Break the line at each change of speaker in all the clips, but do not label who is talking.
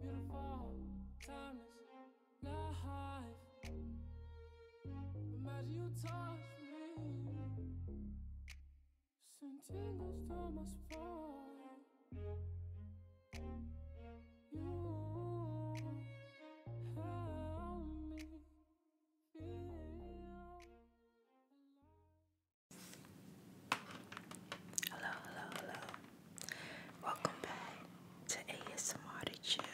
Beautiful, timeless, life. Imagine you touch me. Send tingles to my spine. You help me feel Hello, hello, hello. Welcome back to ASMR to Chill.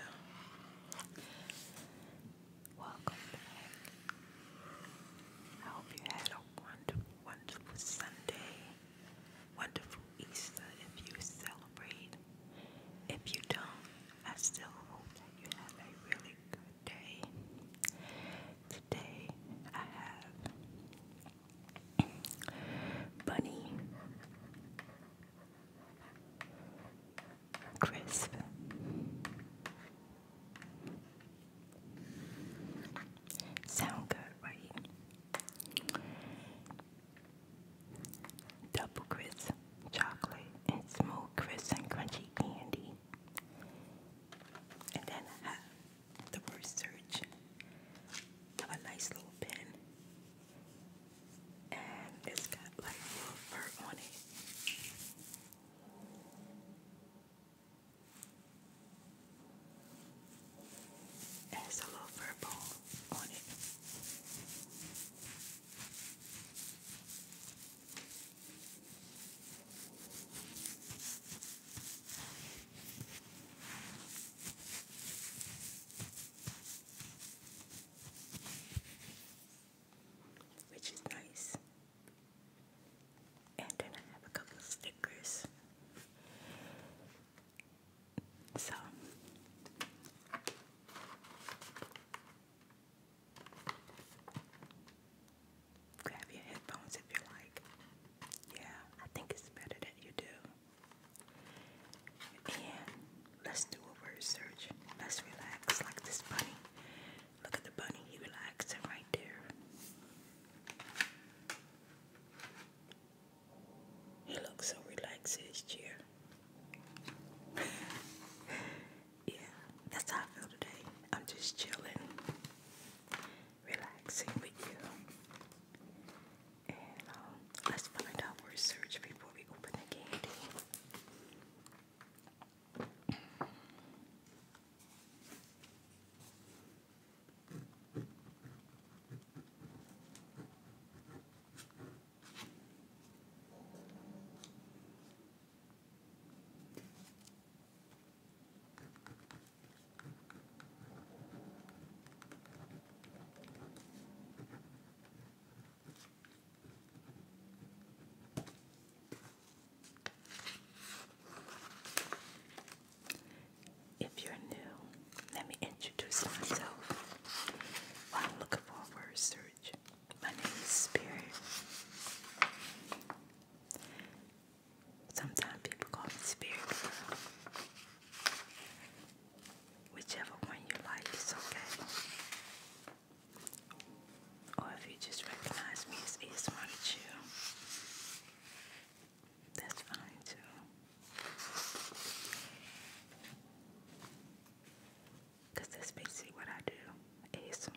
Welcome back. I hope you had a wonderful, wonderful Sunday. Wonderful Easter if you celebrate. If you don't, I still hope that you have a really good day. Today I have Bunny, crisp, sound good, right? Double crisp chocolate and smooth crisp and crunchy candy. And then have the word search. a nice little pen and it's got like little fur on it. it's a little fur ball on it which is nice. And then I have a couple of stickers. So grab your headphones if you like. Yeah, I think it's better that you do let's do a word search. Let's relax like this bunny. Look at the bunny, he relaxing right there. He looks so relaxed in his yeah, that's how I feel today. I'm just chilling, relaxing with you. Um, let's find out more research before we open the candy. If you're new, let me introduce myself. While looking for a word search, my name is Spirit. Sometimes people call me Spirit Whichever one you like is okay. Or if you just recognize me as ASMR to that's fine too. Because that's basically what I do ASMR.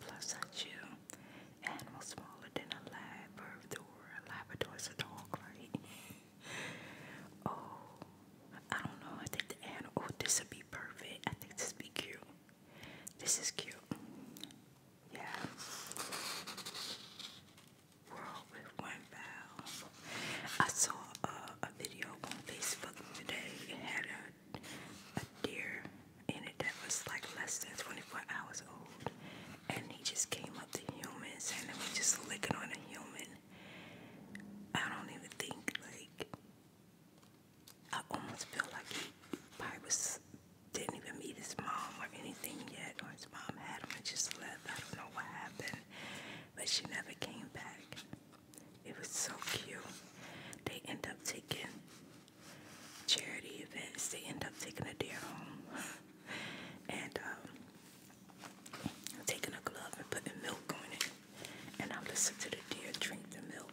Plus, I chew. Animal smaller than a Labrador. Labrador's a dog, right? oh, I don't know. I think the animal. Oh, this would be perfect. I think this be cute. This is cute. Yeah. World with one bow. I saw uh, a video on Facebook today. It had a, a deer in it was like less than 24 hours old. And he just came up to humans and he was just licking on a human. I don't even think, like, I almost feel like he probably was, didn't even meet his mom or anything yet, or his mom had him and just left. I don't know what happened, but she never came back. It was so cute. They end up taking charity events, they end up taking a deer home and um, taking a glove and putting milk on it. And I listen to the deer drink the milk.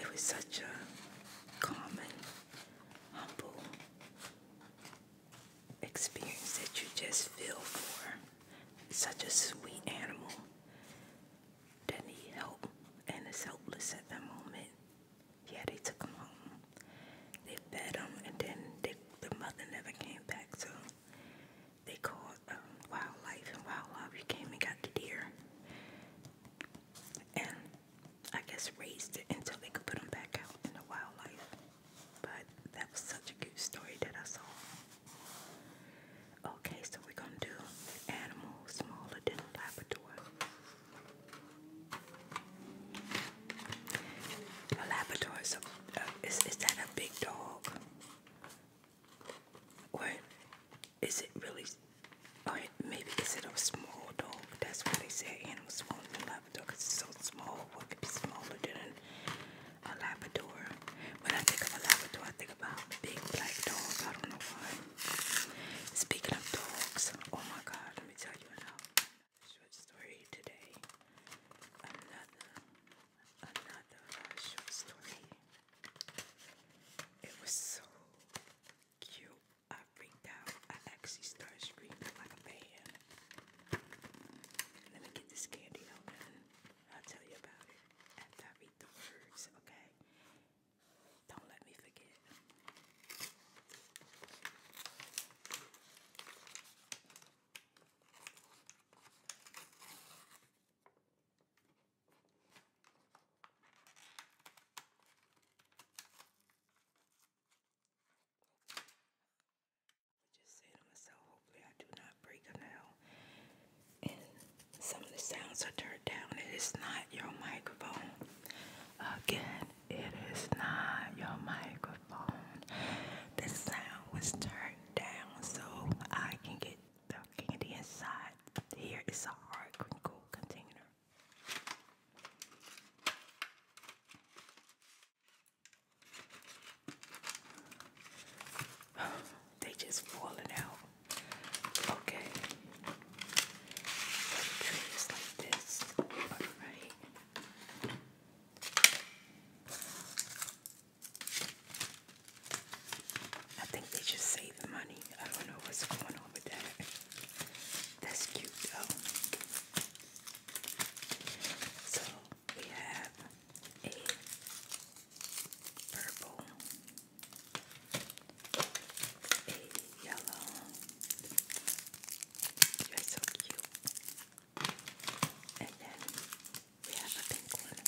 It was such a common, humble experience that you just feel for. Such a sweet animal they need help and is helpless at the moment. Yeah, they took him home. They fed him, and then they, the mother never came back. So they called um, wildlife, and wildlife came and got the deer, and I guess raised it until they could put him back out in the wildlife. But that was such a cute story that I saw. Okay, so we're gonna do animals smaller than a Labrador. A labrador is uh, is, is that a big dog? Or is it really, maybe is it a small dog? That's why they say animals smaller than Labrador because it's so small. What could be smaller than a Labrador? When I think of a Labrador, I think about a big black dog. I don't know why. Speaking of dogs, oh my god, let me tell you another short story today. Another, another short story. It was so cute. I freaked out. I actually started screaming like a man. Let me get this candy out and I'll tell you about it after I read the words, okay? Don't let me forget. just say to myself, hopefully I do not break a nail some of the sounds are turned down. It is not your microphone. Again, it is not your microphone. The sound was turned down so I can get the candy inside. Here is a hard crinkle container. they just falling out. Okay. Treat like this. Alright. I think they just save the money. I don't know what's going on with that. That's cute though. So we have a purple a yellow. You're so cute. And then we have a pink one.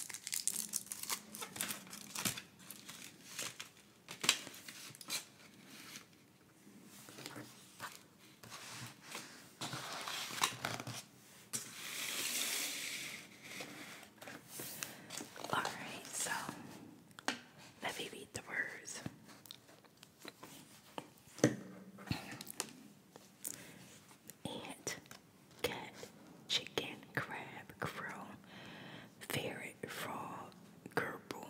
All right, so let me read the words. Ant, cat, chicken, crab, crow, ferret, frog, gerbil,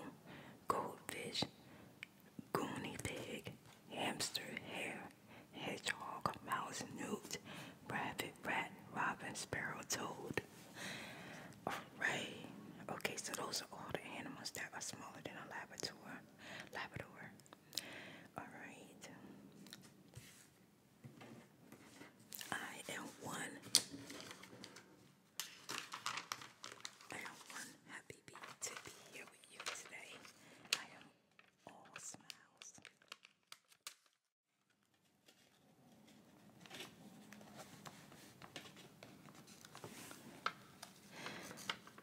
goldfish, goonie pig, hamster, hare, hedgehog, mouse, newt, Private Rat, Robin, Sparrow, Toad, Ray. Okay, so those are all the animals that are smaller than a Labrador. Labrador. All right. I am one. I am one happy bee to be here with you today. I am all smiles.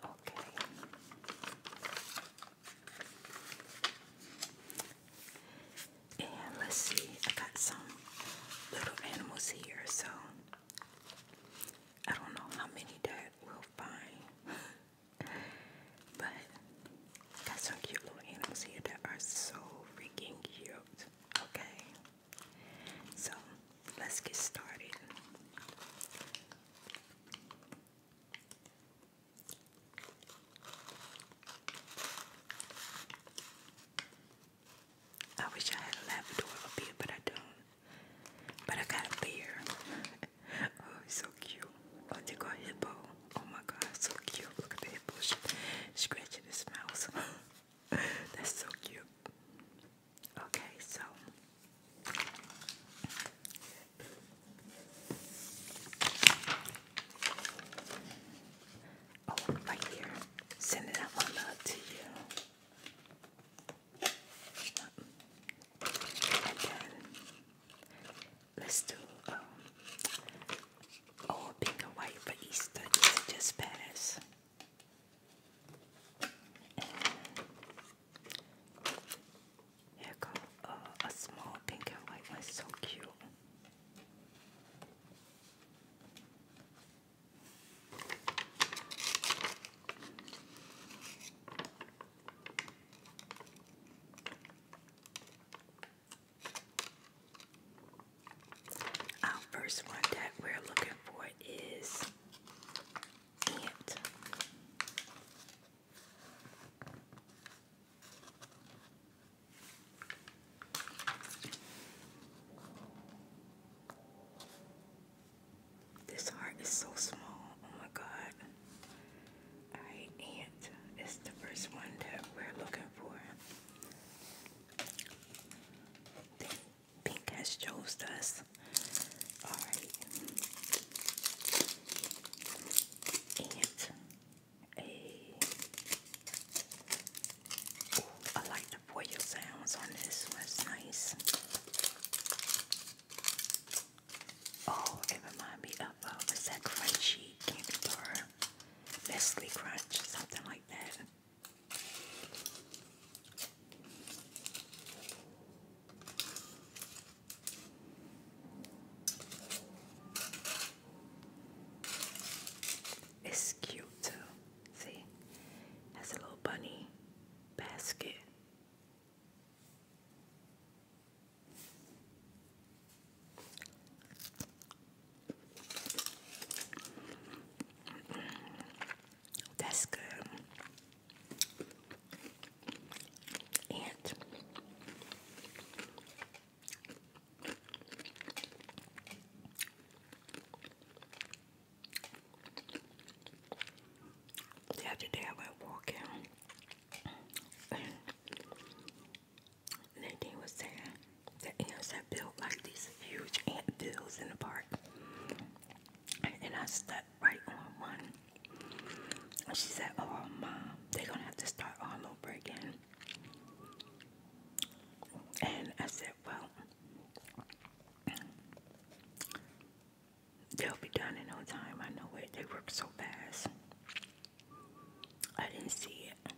Okay. And let's see, I got some little animals here, so I don't know how many that we'll find. but got some cute little animals here that are so freaking cute. Okay, so let's get started. I wish I had a Labrador up but I don't. But I got a bear. oh, he's so cute. Oh, they got hippo. Oh my god, so cute. Look at that hippos scratching his mouth. That's so cute. Okay, so Oh, right here. Sending out my love to you. And then let's do um, Oh, pink and white for Easter. Easter just passed. here comes uh, a small pink and white one, so cute. Our first one that we're looking for is ant. This heart is so small. Oh my god. ant is the first one that we're looking for. Pink has chose us. All right. And a. like the foil sounds on this one. nice. Oh, it reminds me of, uh, is that crunchy candy Leslie Crunch, something like that. It's cute has a little bunny basket. That's good. And the other day I went walking Nadine was saying the ants had built like these huge ant fields in the park. And I stepped right on one. And she said, Oh, mom, they're gonna have to start all over again. And I said, Well, they'll be done in no time. I know it. They work so fast. I didn't see it.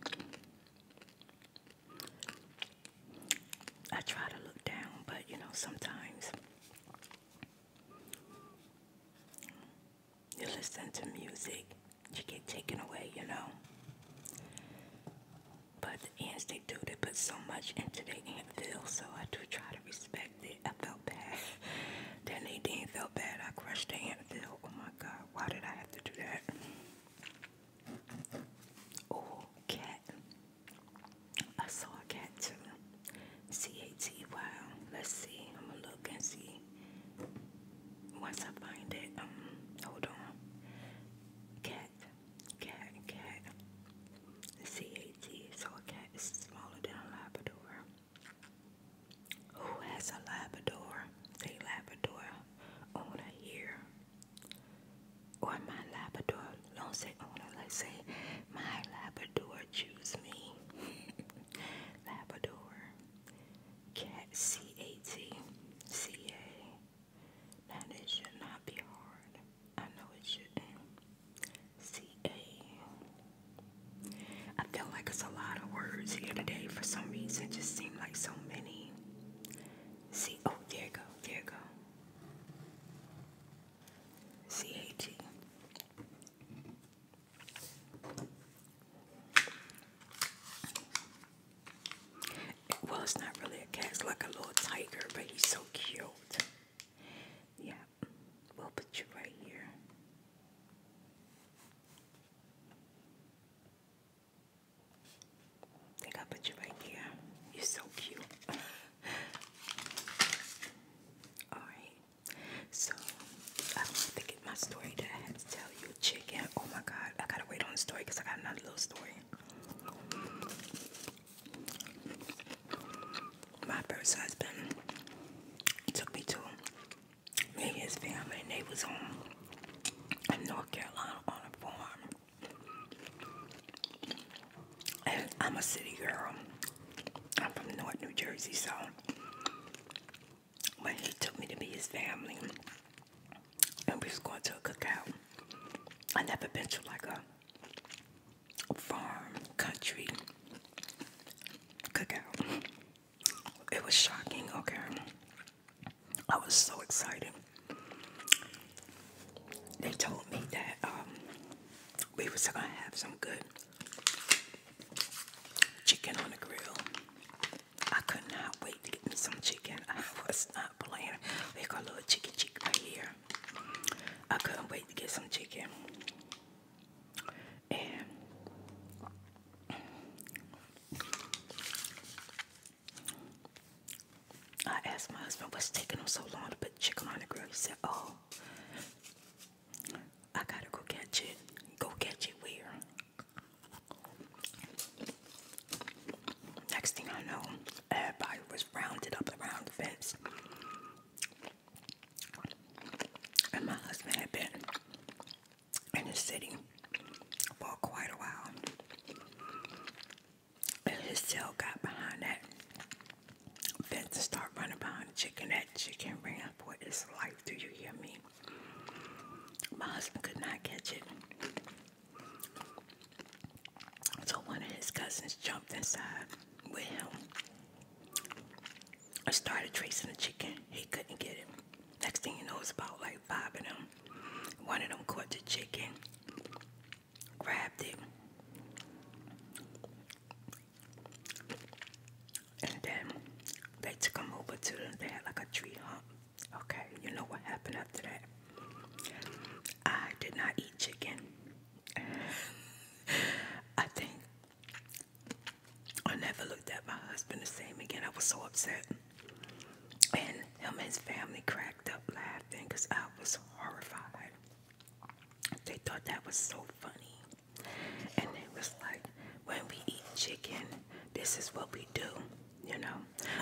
I try to look down, but you know, sometimes you listen to music, you get taken away, you know. But the ants, they do, they put so much into their antvil, so I do try to respect it. I felt bad. then they didn't feel bad. I crushed the antvil. Oh my god, why did I have to do that? Oh, cat. I saw a cat too. C A T Y. Let's see. I'm gonna look and see. Once I find it, um, hold on. Cat, cat, cat. C A T. So a cat is smaller than a Labrador. Who has a Labrador? Say Labrador owner here. Or my Labrador, don't say owner, let's say my Labrador choose me. Labrador. Cat C A T C A. Now this should not be hard. I know it shouldn't. C A. I feel like it's a lot of words here today for some reason. Just like so many. See, oh, there you go, there you go. C-A-T. Well, it's not really a cat, it's like a little tiger, but he's so cute. Yeah, we'll put you right here think I put you right there. You're so cute. Alright. So I wanted to my story that I had to tell you. Chicken. Oh my god. I gotta wait on the story I got another little story. My first husband took me to me and his family, and they was on in North Carolina on a farm. And I'm a city girl. I'm from North New Jersey, so when he took me to be his family, and we was going to a cookout. I never been to like a farm country cookout. It was shocking, okay. I was so excited. They told me that um, we was gonna have some good chicken on the grill. I could not wait to get some chicken. I was not playing. We got a little chicken chick right here. I couldn't wait to get some chicken. And I asked my husband what's taking him so long to put chicken on the grill. He said, Oh, I gotta go catch it. Go catch it where? Next thing I know, everybody was rounded up around the fence. And my husband had been in the city for quite a while. And his tail got behind that Then to start running behind the chicken. That chicken ran for its life. Do you hear me? My husband could not catch it. So one of his cousins jumped inside with him. I started tracing the chicken. He couldn't get it. Next thing you know, it's about like five of them. One of them caught the chicken, grabbed it, and then they took him over to them. They had like a tree hump. Okay, you know what happened after that? I did not eat chicken. I think I never looked at my husband the same again. I was so upset. And him and his family cracked up laughing because I was horrified. They thought that was so funny. And it was like, when we eat chicken, this is what we do, you know.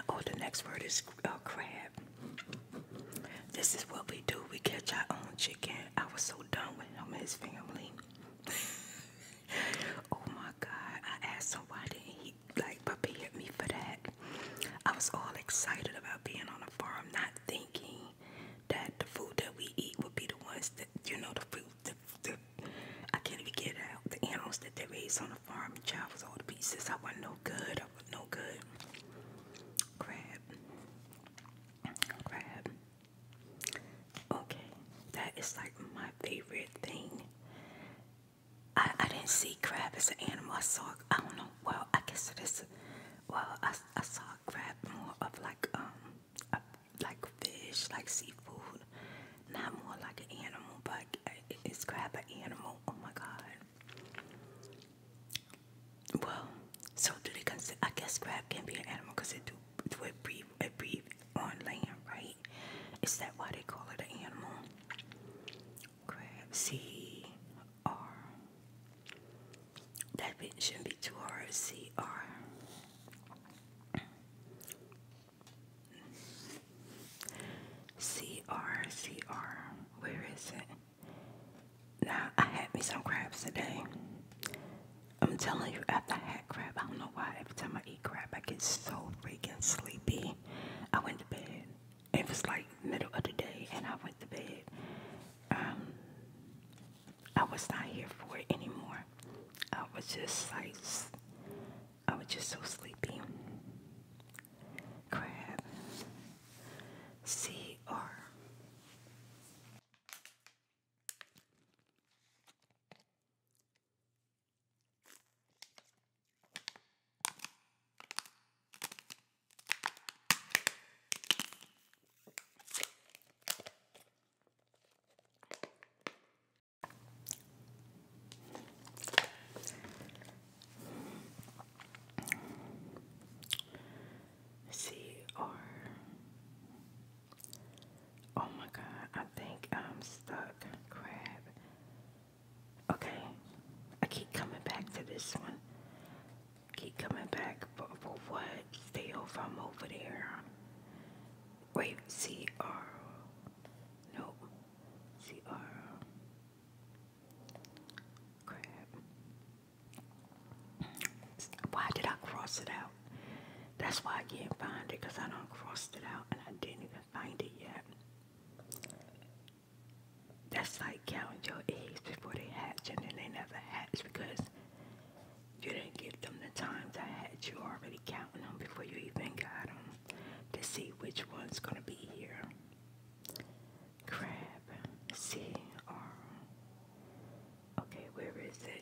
Oh, the next word is uh, crab. This is what we do. We catch our own chicken. I was so done with him and his family. oh my God! I asked him why didn't he like prepare me for that. I was all excited about being on the farm, not thinking that the food that we eat would be the ones that you know the food. that the, I can't even get out. The animals that they raise on the farm, child was all the pieces. I was no good. I was no good. Crab. Crab. Okay, that is like my favorite thing. I, I didn't see crab as an animal. I saw, I don't know, well, I guess it is, well, I, I saw crab more of like, um, like fish, like seafood, not more like an animal, but is crab an animal? Oh my God. Well, so do they consider, I guess crab can be an animal because they do, do it breathe breathe it on land, right? Is that why they call it an animal? Crab C R That bit shouldn't be too hard C R C R C R Where is it? Now I had me some crabs today. I'm telling you after I had I don't know why. Every time I eat crap, I get so freaking sleepy. I went to bed. It was like middle of the day, and I went to bed. Um, I was not here for it anymore. I was just like, I was just so sleepy. Crab. C R. C R Oh my god, I think I'm stuck. Crab. Okay, I keep coming back to this one. Keep coming back, but for what? Stay over, I'm over there. Wait, CR. Nope. CR. Crab. Why did I cross it out? That's why I can't find it because I don't crossed it out and I didn't even find it yet. That's like counting your eggs before they hatch and then they never hatch because you didn't give them the time to hatch. You already counting them before you even got them to see which one's going to be here. Crab. C. R. Okay, where is it?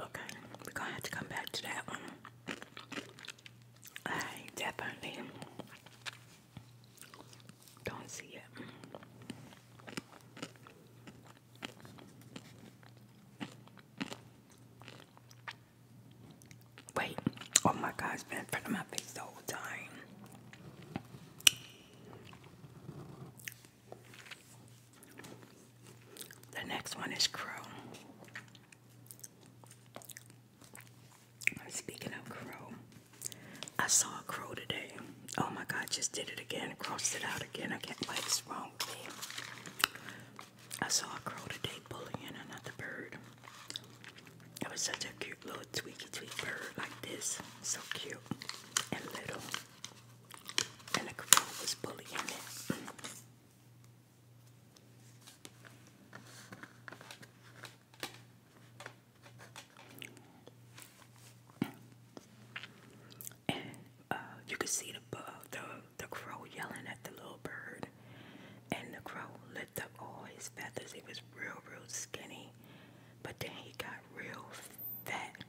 Okay, we're gonna have to come back to that one. I definitely don't see it. Wait, oh my god, it's been in front of my face the whole time. The next one is Crow. Speaking of crow, I saw a crow today. Oh my god, just did it again, crossed it out again. I can't what's wrong with me. I saw a crow today bullying another bird. It was such a cute little tweaky tweak bird like this. So cute and little. And the crow was bullying it. And uh, you could see the, the the crow yelling at the little bird, and the crow lift up all his feathers. He was real, real skinny, but then he got real fat,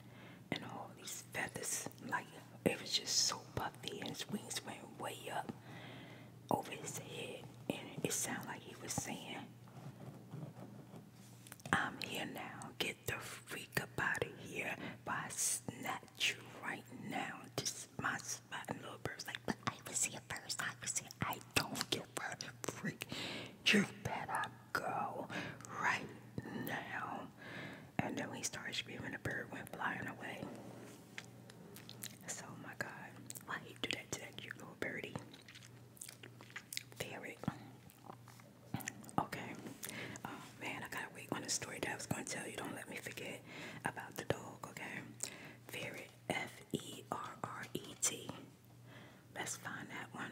and all these feathers like it was just so puffy and his wings went way up over his head. And it sounded like he was saying, I'm here now. Get the freak up out of here. But I snatch you right now. Just my spot. And little bird's like, but I was here first. I was here. I don't give her the freak. You better go right now. And then we started screaming, the bird went flying away. So, my God, why you do that to that cute little birdie? Ferret. Okay. Oh, man, I gotta wait on the story that I was gonna tell you. Don't let me forget about the dog, okay? Ferret, F E R R E T. Let's find that one.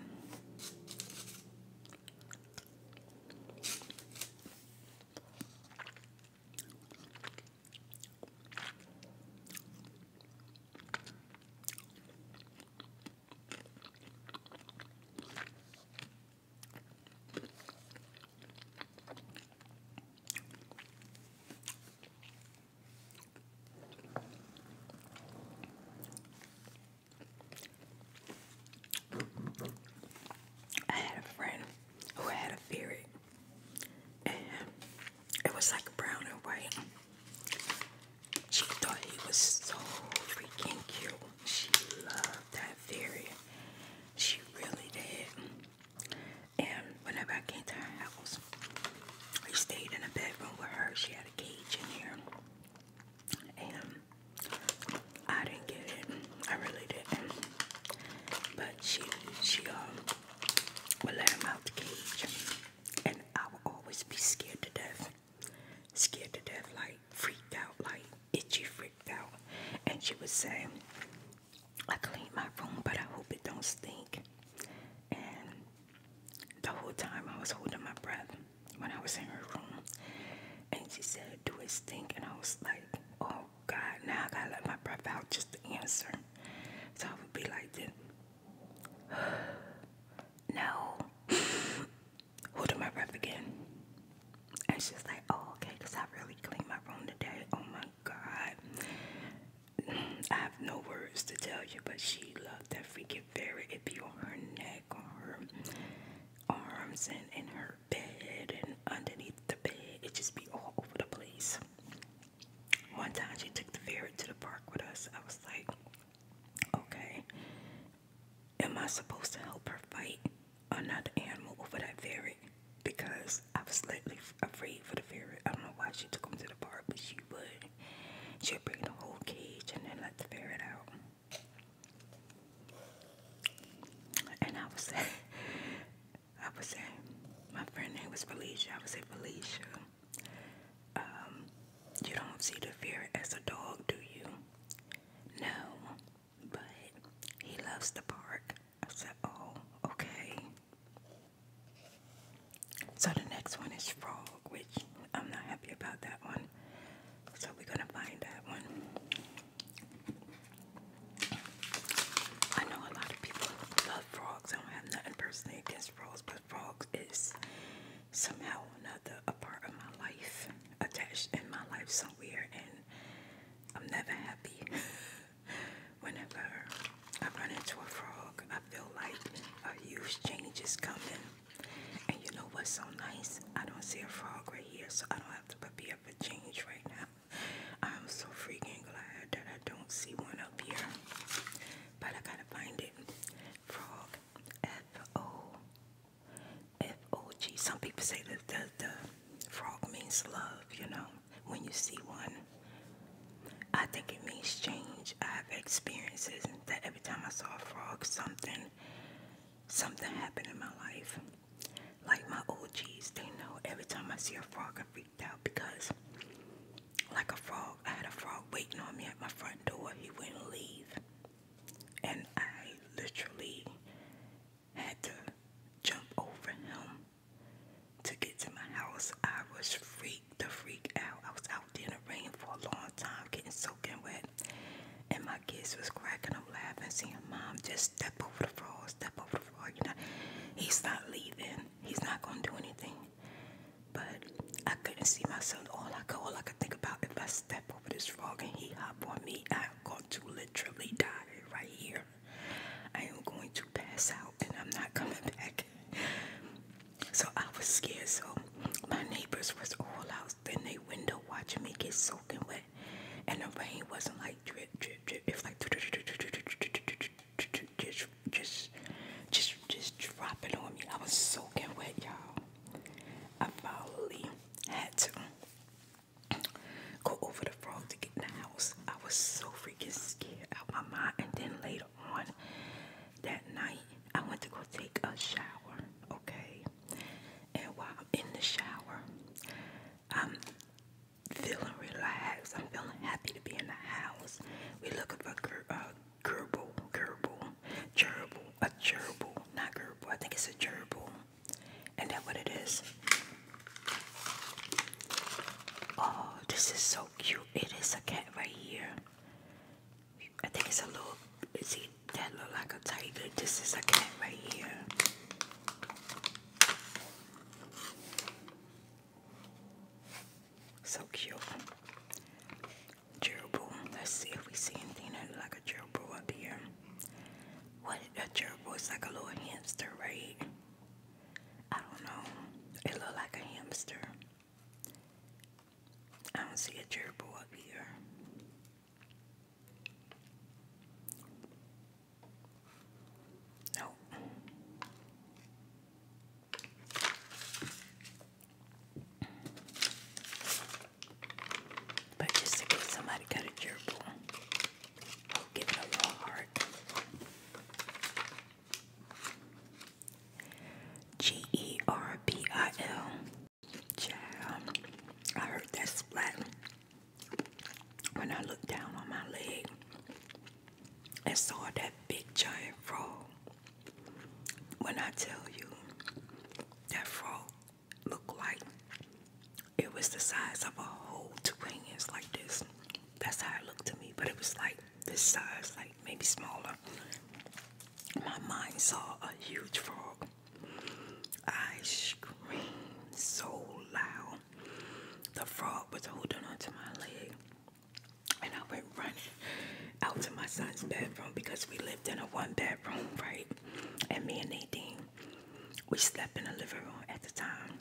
I had a friend who had a ferret, and it was like brown and white. She thought he was so freaking cute. She loved that ferret. She really did. And whenever I came to her house, I stayed in a bedroom with her. She had a cage in here. And I didn't get it. I really didn't. But she she um would let him out the cage. And I would always be scared to death. Scared to death, like freaked out, like itchy freaked out. And she would say, I clean my room, but I hope it don't stink. And the whole time I was holding my breath when I was in her room. And she said, Do it stink? And I was like, Oh God, now I gotta let my breath out just to answer. So I would be like no. Hold my breath again. And she's like, oh, okay, I really cleaned my room today. Oh my God. I have no words to tell you, but she loved that freaking fairy It be on her neck, on her arms and in her bed and underneath the bed. It just be all over the place. One time she took the ferret to the park with us. I was like, okay, am I supposed to help her fight another animal over that ferret? Because I was slightly afraid for the ferret. I don't know why she took him to the park, but she would. She'd bring the whole cage and then let the ferret out. And I would say, I would say, my friend name was Felicia. I would say, Felicia, um, you don't see the fear as a dog, do you? No, but he loves the park. I said, oh, okay. So the next one is frog, which I'm not happy about that one. So we're gonna find that one. I know a lot of people love frogs. I don't have nothing personally against frogs, but frogs is somehow another a part of my life, attached in my life somewhere, and I'm never happy. Whenever I run into a frog, I feel like a huge change is coming. And you know what's so nice? I don't see a frog right here, so I don't have to prepare for change right now. I'm so freaking glad that I don't see one up here. But I gotta find it. Frog. F-O. F-O-G. Some people say that the, the frog means love, you know, when you see one. I think it means change. I have experiences that every time I saw a frog, something something happened in my life. Like my old OGs, they know every time I see a frog, I freaked out because, like a frog, I had a frog waiting on me at my front door. He wouldn't leave. And I literally had to jump over him to get to my house. I was freaked the freak out. I was out there in the rain for a long time, getting soaking wet. And my kids was cracking up laughing, seeing Mom, just step over the frog, step over the frog. You know, he's not leaving. He's not gonna do anything. But I couldn't see myself. All I could, all I could think about, if I step over this frog and he hop on me, I'm going to literally die right here. I am going to pass out and I'm not coming back. So I was scared. So my neighbors was all out in their window watching me get soaking wet and the rain wasn't like drip, drip, drip. It's like just, just, just, just dropping on me. I was soaking wet, y'all. I finally had to go over the road to get in the house. I was so freaking scared out my mind. And then later on that night, I went to go take a shower, okay? And while I'm in the shower, I'm feeling relaxed. I'm feeling happy to be in the house. We're looking for uh, a uh, gerbil, gerbil, gerbil, a gerbil, not gerbil. I think it's a gerbil. And that what it is. Oh, this is so cute. It is a cat right here. I think it's a little, see, that look like a tiger. This is a cat right here. So cute. Gerbil. Let's see if we see anything like a gerbil up here. What a gerbil is like a little hamster, right? I don't know. It look like a hamster. I don't see a gerbil up here. No. But just in case somebody got a gerbil, I'll give it a raw G E R B I L. Child, I heard that splat when I looked down on my leg and saw that big giant frog, when I tell you that frog looked like it was the size of a whole two hands like this. That's how it looked to me, but it was like this size, like maybe smaller. My mind saw a huge frog I screamed so loud. The frog was holding onto my leg, and I went running out to my son's bedroom because we lived in a one bedroom, right? And me and Nadine, we slept in the living room at the time.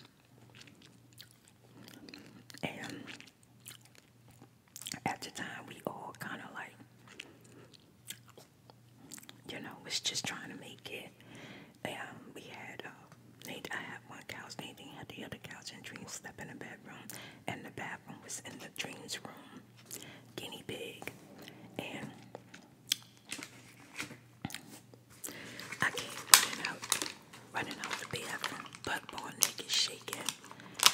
And at the time, we all kind of like you know, was just trying to make it. Um, we had, uh, I had one couch, Nathan had the other couch, and Dream slept in the bedroom, and the bathroom was in the Dream's room, guinea pig, and I came running out, running out of the bathroom, butt ball naked, shaking,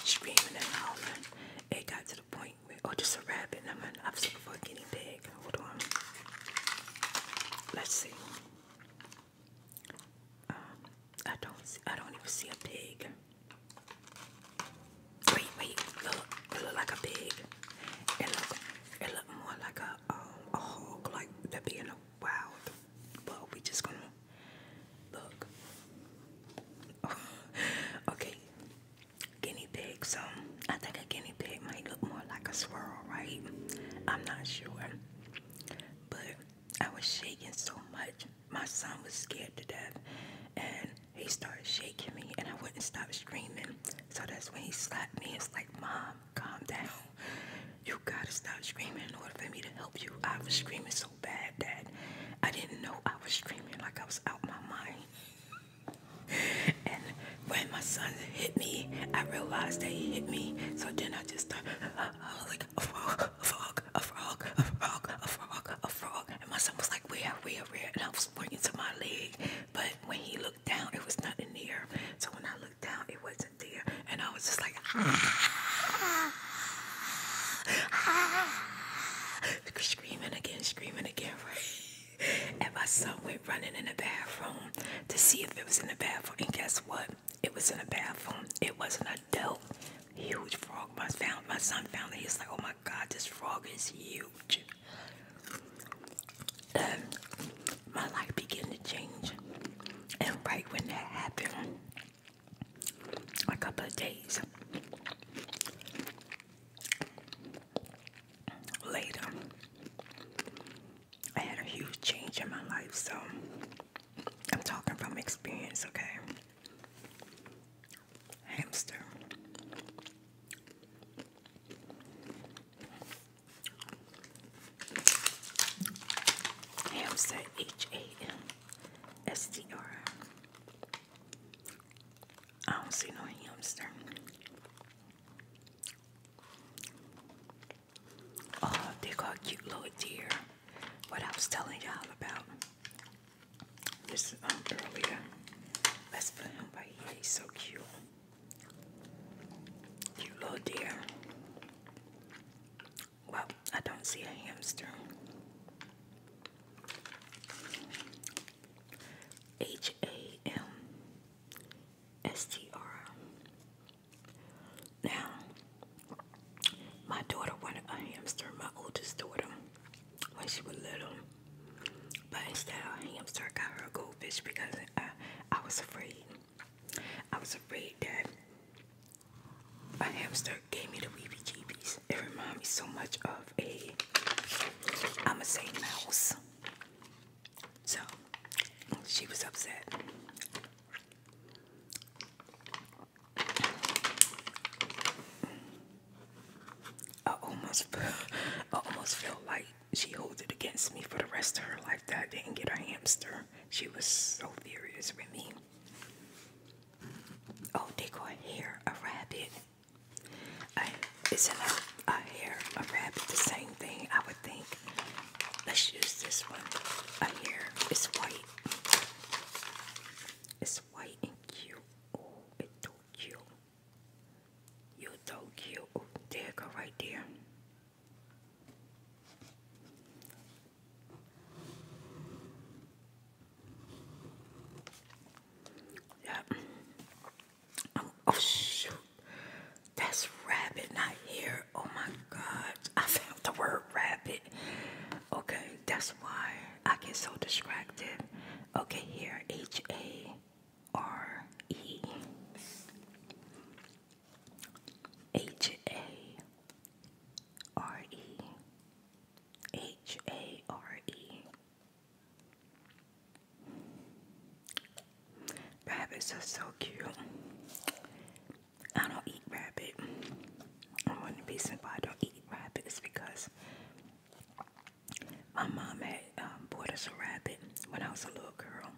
screaming and howling. It got to the point ointment. Oh, just a rabbit. I'm I was looking for a guinea pig. Hold on. Let's see. Um, I don't. I don't even see a pig. Wait, wait. Look, look like a pig. It look. It look more like a um, a hog, like that being wild. But we just gonna look. okay, guinea pig, so I think a guinea pig might look more like a swirl, right? I'm not sure. But I was shaking so much, my son was scared to death, and he started shaking me, and I wouldn't stop screaming. So that's when he slapped me. It's like, Mom, calm down. You gotta stop screaming in order for me to help you. I was screaming so bad that I didn't know I was screaming like I was out my mind and when my son hit me, I realized that he hit me. So then I just started, I was like, a frog, a frog, a frog, a frog, a frog, a frog. And my son was like, where, where, where? And I was pointing to my leg. But when he looked down, it was nothing there. So when I looked down, it wasn't there. And I was just like, ah, ah, ah. screaming again, screaming again, right? and my son went running in the bathroom to see if it was in the bathroom. And guess what? It was in the bathroom. It was an adult, huge frog. My son found it. He's like, "Oh my God, this frog is huge." And my life began to change. And right when that happened, a couple of days later. I had a huge change in my life, so I'm talking from experience, okay? Hamster. Hamster H A M S T R. I don't see no hamster. Oh, they got cute little deer. What I was telling y'all about this um, earlier. Let's put him right here. He's so cute. Cute little deer. Well, I don't see a hamster. H A M-S-T-R. Now, my daughter wanted a hamster, my oldest daughter, when she was little. But instead of a hamster, I got her a goldfish because I, was afraid. I was afraid that my hamster gave me the weepy jeebies. It reminded me so much of a, I'ma mouse. So she was upset. I almost, I almost feel like she holds it against me for the rest of her life that I didn't get a hamster. She was so furious with me. Oh, they got hair, a rabbit isn't a, a hair a rabbit the same thing? I would think. Let's use this one. A hair. It's white. It's white and cute. Oh, it's so cute. You're so cute. there go right there. Yep. Oh, shoot. That's rabbit, not here. Oh my god. I found the word rabbit. Okay, that's why I get so distracted. Okay, here. H A R E. H A R E. H A R E. Rabbits are so cute. I don't eat rabbit. And one of the reasons why I don't eat rabbits because my mom had um, bought us a rabbit when I was a little girl.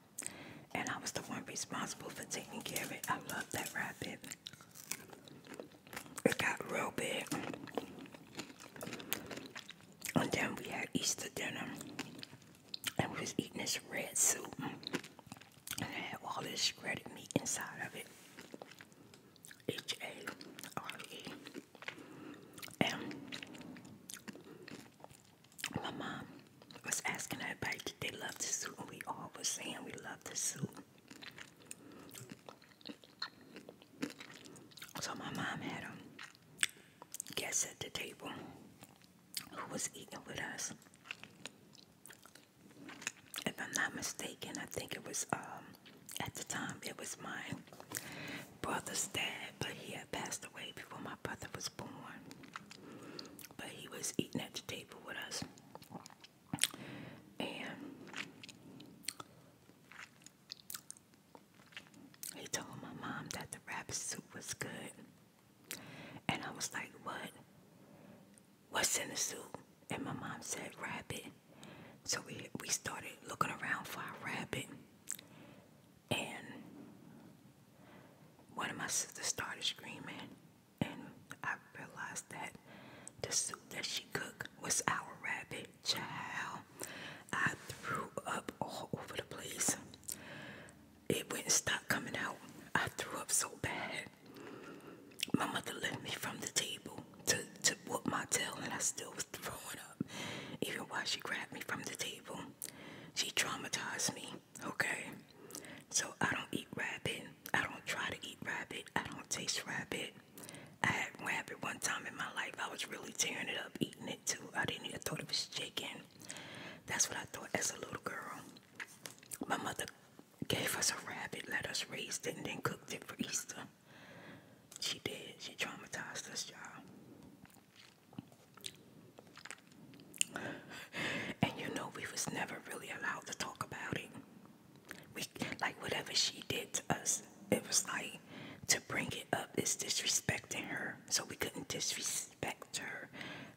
And I was the one responsible for taking care of it. I love that rabbit. It got real big. And then we had Easter dinner. And we was eating this red soup. And it had all this shredded meat inside of it. H-A-R-E. my mom was asking everybody they love the soup. And we all was saying we love the soup. So my mom had a guests at the table who was eating with us. If I'm not mistaken, I think it was um, at the time it was my brother's dad, but he had passed away before my brother was born. But he was eating at the table with us. And he told my mom that the rabbit soup was good. And I was like, What? What's in the soup? And my mom said, Rabbit. So we, we started looking around for a rabbit. And one of my sisters started screaming. And I realized that the soup that she cooked was our rabbit. Child, I threw up all over the place. It wouldn't stop coming out. I threw up so bad. My mother lifted me from the table to, to whoop my tail, and I still was throwing up. Even while she grabbed me from the table, she traumatized me. Okay? So I don't eat rabbit. I don't try to eat rabbit. I don't taste rabbit. I had rabbit one time in my life. I was really tearing it up, eating it too. I didn't even thought it was chicken. That's what I thought as a little girl. My mother gave us a rabbit, let us raise it, and then cooked it for Easter. She did. She traumatized us, y'all. And you know, we was never really allowed to talk about it. We like whatever she did to us, it was like to bring it up is disrespecting her. So we couldn't disrespect her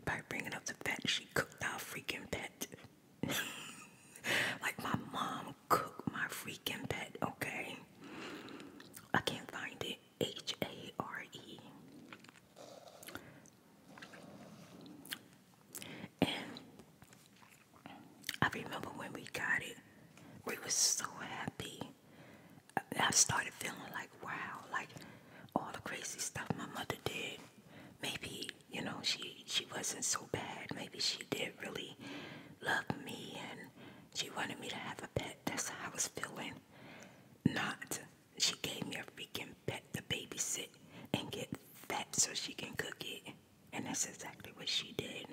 by bringing up the fact she cooked our freaking pet. like my mom cooked my freaking pet, okay? I can't find it. H A R E. And I remember when we got it, we were so happy. I started feeling like, wow, like all the crazy stuff my mother did. Maybe, you know, she, she wasn't so bad. Maybe she did really love me and she wanted me to have a pet. That's how I was feeling. Not, she gave me a freaking pet to babysit and get fat so she can cook it. And that's exactly what she did.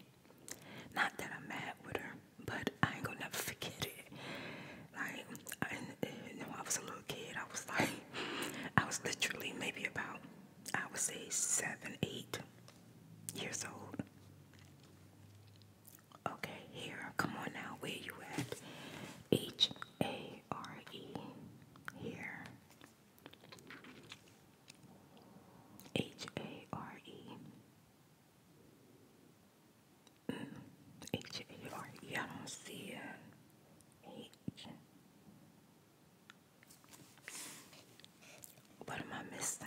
Not that I'm mad with her, but I ain't gonna never forget it. Like, you know, I was a little kid. I was like, I was literally maybe about, I would say seven, eight years old. Okay, here, come on now. Where you at? H A R E. Here. H A R E. H A R E. I don't see it. What am I missing?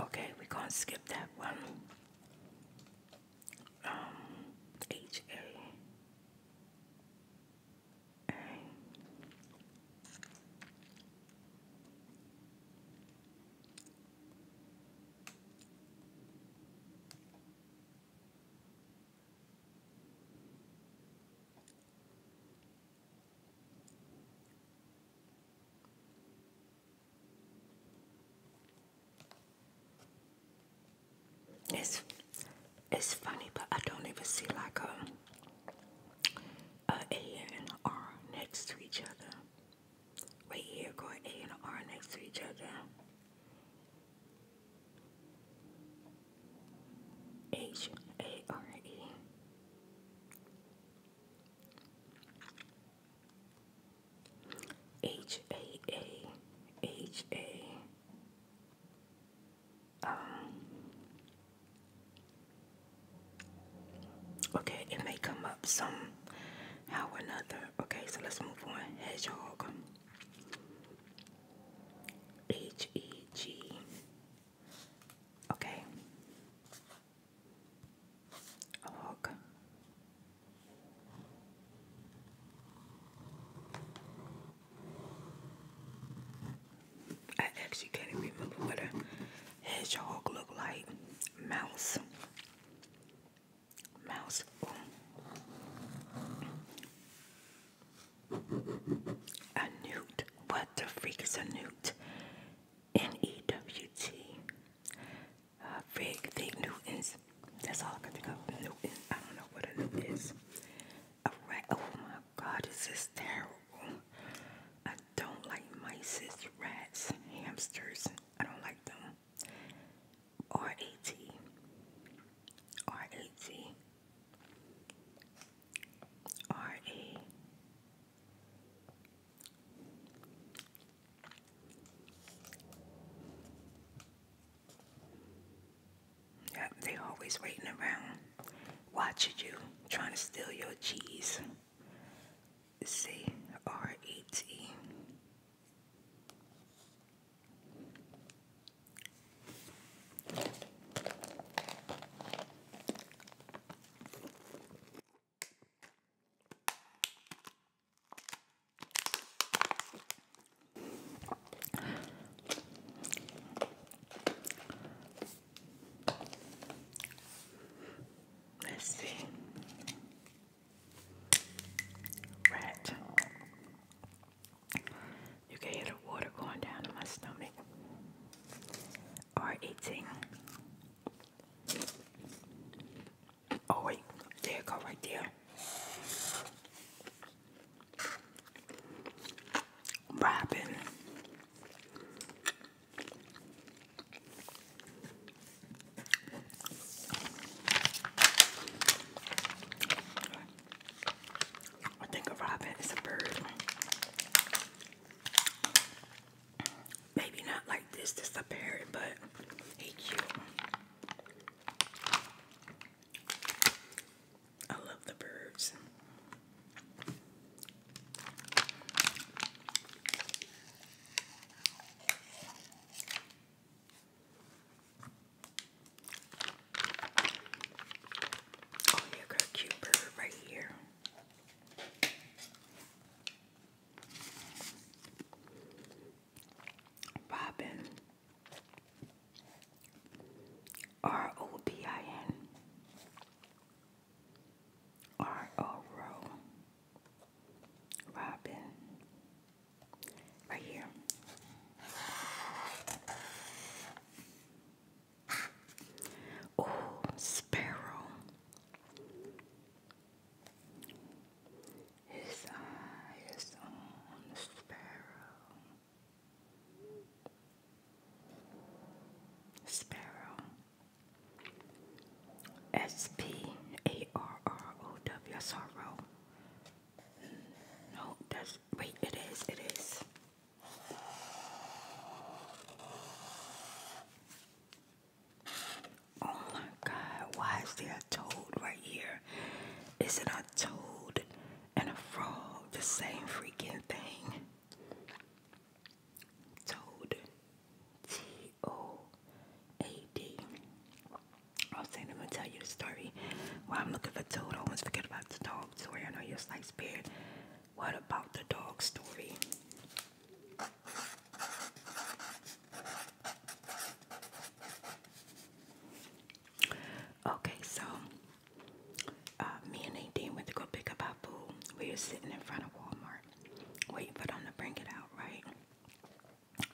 Okay, we're gonna skip that one. Um, it's it's funny, but I don't even see like a a and an R next to each other. Right here, going A and R next to each other. H A R E. H A A H A um Okay, it may come up some how or another. Okay, so let's move on. Hedgehog H E G Okay a I actually can't remember what a hedgehog look like. Mouse. Mouse. A newt. What the freak is a newt? N-E-W-T. Uh, Fig Newtons. That's all I can think of. Newton. I don't know what a Newton is. rat. Oh my God, this terrible. I don't like mice, rats, hamsters. I don't like them. R-A-T. R-A-T. R-A. Yeah, they always waiting around, watching you, trying to steal your cheese. C R E T. Let's see. Rat. You can hear the water going down in my stomach. r eating. Oh wait, there go right there. Robin. I think a robin is a bird. Maybe not like this, just a parrot, but he cute. I love the birds. Oh, yeah, got a cute bird right here. Robin R O B I N R O Robin right here. Oh, sparrow. His eye is on the sparrow. Sparrow. S P A R R O W S R O. No, that's wait, it is, it is. Oh my God, why is there a toad right here? Is it a toad and a frog the same freaking thing? Toad. T-O-A-D. I was saying I'm gonna tell you the story. While I'm looking for toad, I almost forget about the dog story. I know you're like spirit. What about the dog story? Okay, so uh, me and Nadine went to go pick up our We were sitting in front of Walmart waiting for them to bring it out, right?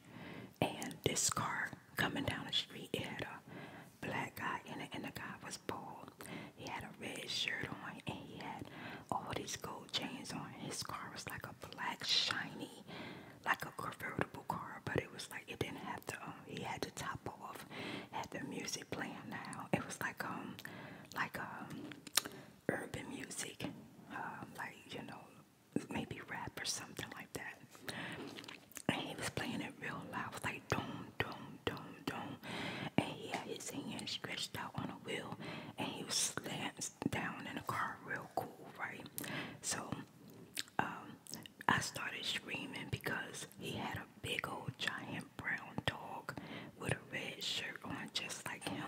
And this car coming down the street, it had a black guy in it, and the guy was was Paul. He had a red shirt on and he had all these gold chains on. His car was like a black, shiny, like a convertible car, but it was like it didn't have the, um, he had the top off, had the music playing now. It was like, um, like, um, urban music, um, like, you know, maybe rap or something like that. And he was playing it real loud, it was like, doom, doom, doom, doom. And he had his hand stretched out on a wheel and he was slams down in the car real cool, right? So um, I started screaming because he had a big old giant brown dog with a red shirt on just like him.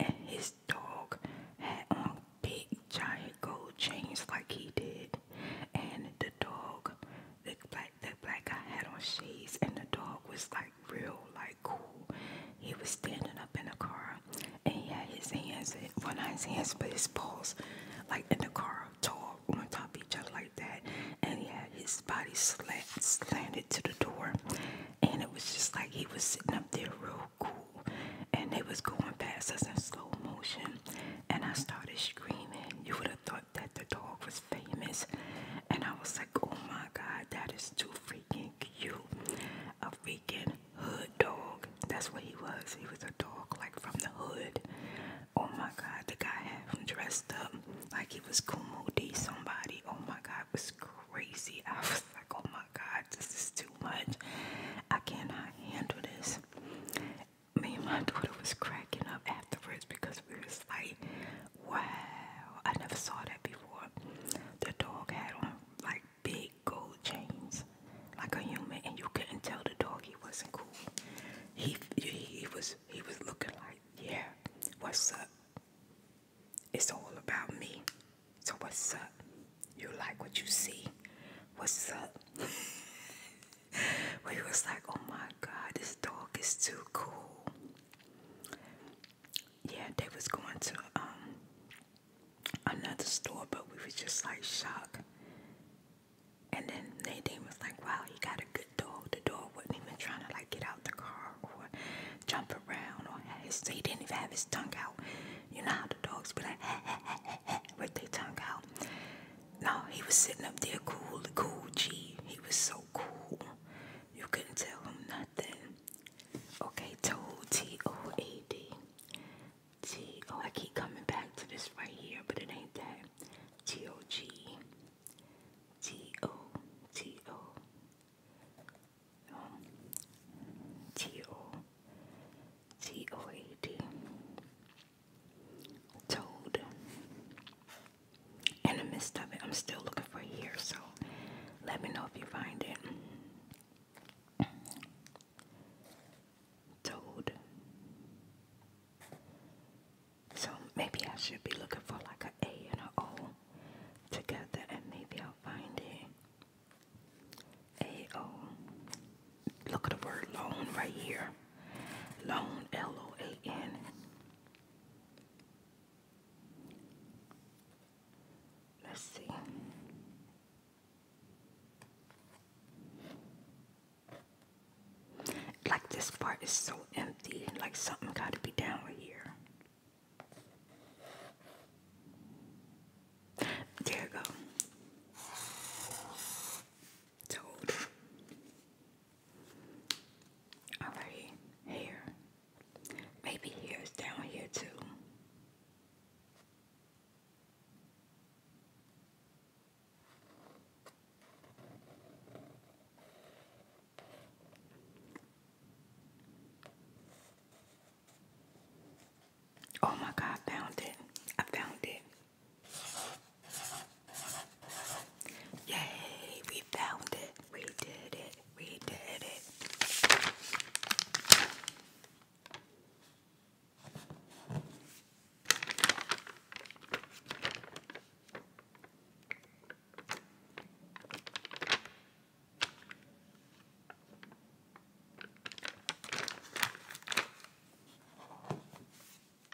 And his dog had on big giant gold chains like he did. And the dog, the black that black guy had on shades and the dog was like real like cool. He was standing up in the car and he had his hands well of his hands but his paws like in the car tall on top of each other like that and he had his body slanted to the door and it was just like he was sitting up there real cool and they was going past us in slow motion and I started screaming. You would have thought that the dog was famous, and I was like, oh my god, that is too freaking cute. A freaking hood dog. That's what he was. He was a dog like from the hood. Oh my god, the guy had him dressed up like he was Kumo somebody. Oh my god, it was crazy. I was like, oh my god, this is too much. I cannot handle this. Me and my daughter was cracking up afterwards because we was like, Wow, I never saw that before. The dog had on like big gold chains, like a human, and you couldn't tell the dog he wasn't cool. He he was he was looking like, yeah, what's up? It's all about me. So what's up? You like what you see? What's up? we was like, oh my god, this dog is too cool yeah, they was going to um another store, but we was just like shocked. And then Nadine was like, "Wow, he got a good dog. The dog wasn't even trying to like get out the car or jump around or his. He didn't even have his tongue out. You know how the dogs be like ha, ha, ha, ha, ha, with their tongue out. No, he was sitting up there cool, cool. G. He was so cool. You couldn't tell him nothing. Okay, toad, T O A D. T O, I keep coming back to this right here, but it ain't that. T O G. T O, T O. Um, T O, T O A D. Toad in the midst of it. I'm still looking for here, so let me know if you find it. Toad. So maybe I should be looking for like an A and an O together, and maybe I'll find it. A O. Look at the word loan right here. Loan, L O A N. Let's see. Like this part is so empty, like something got to be down here. There go. Told. Alright, here. Maybe here's down here too. Oh my God, I found it. I found it. Yay, we found it. We did it. We did it.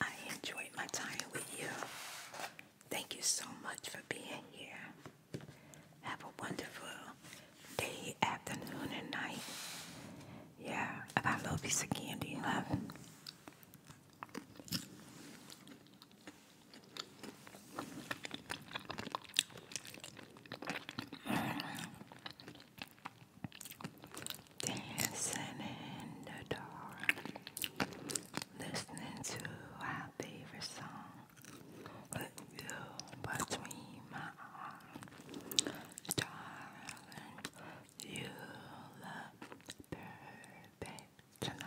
I enjoyed my time with you. Thank you so much for being here. Have a wonderful day, afternoon, and night. Yeah, about a little piece of candy, love. Dancing in the dark, listening to our favorite song. With you between my arms, darling, you look perfect tonight.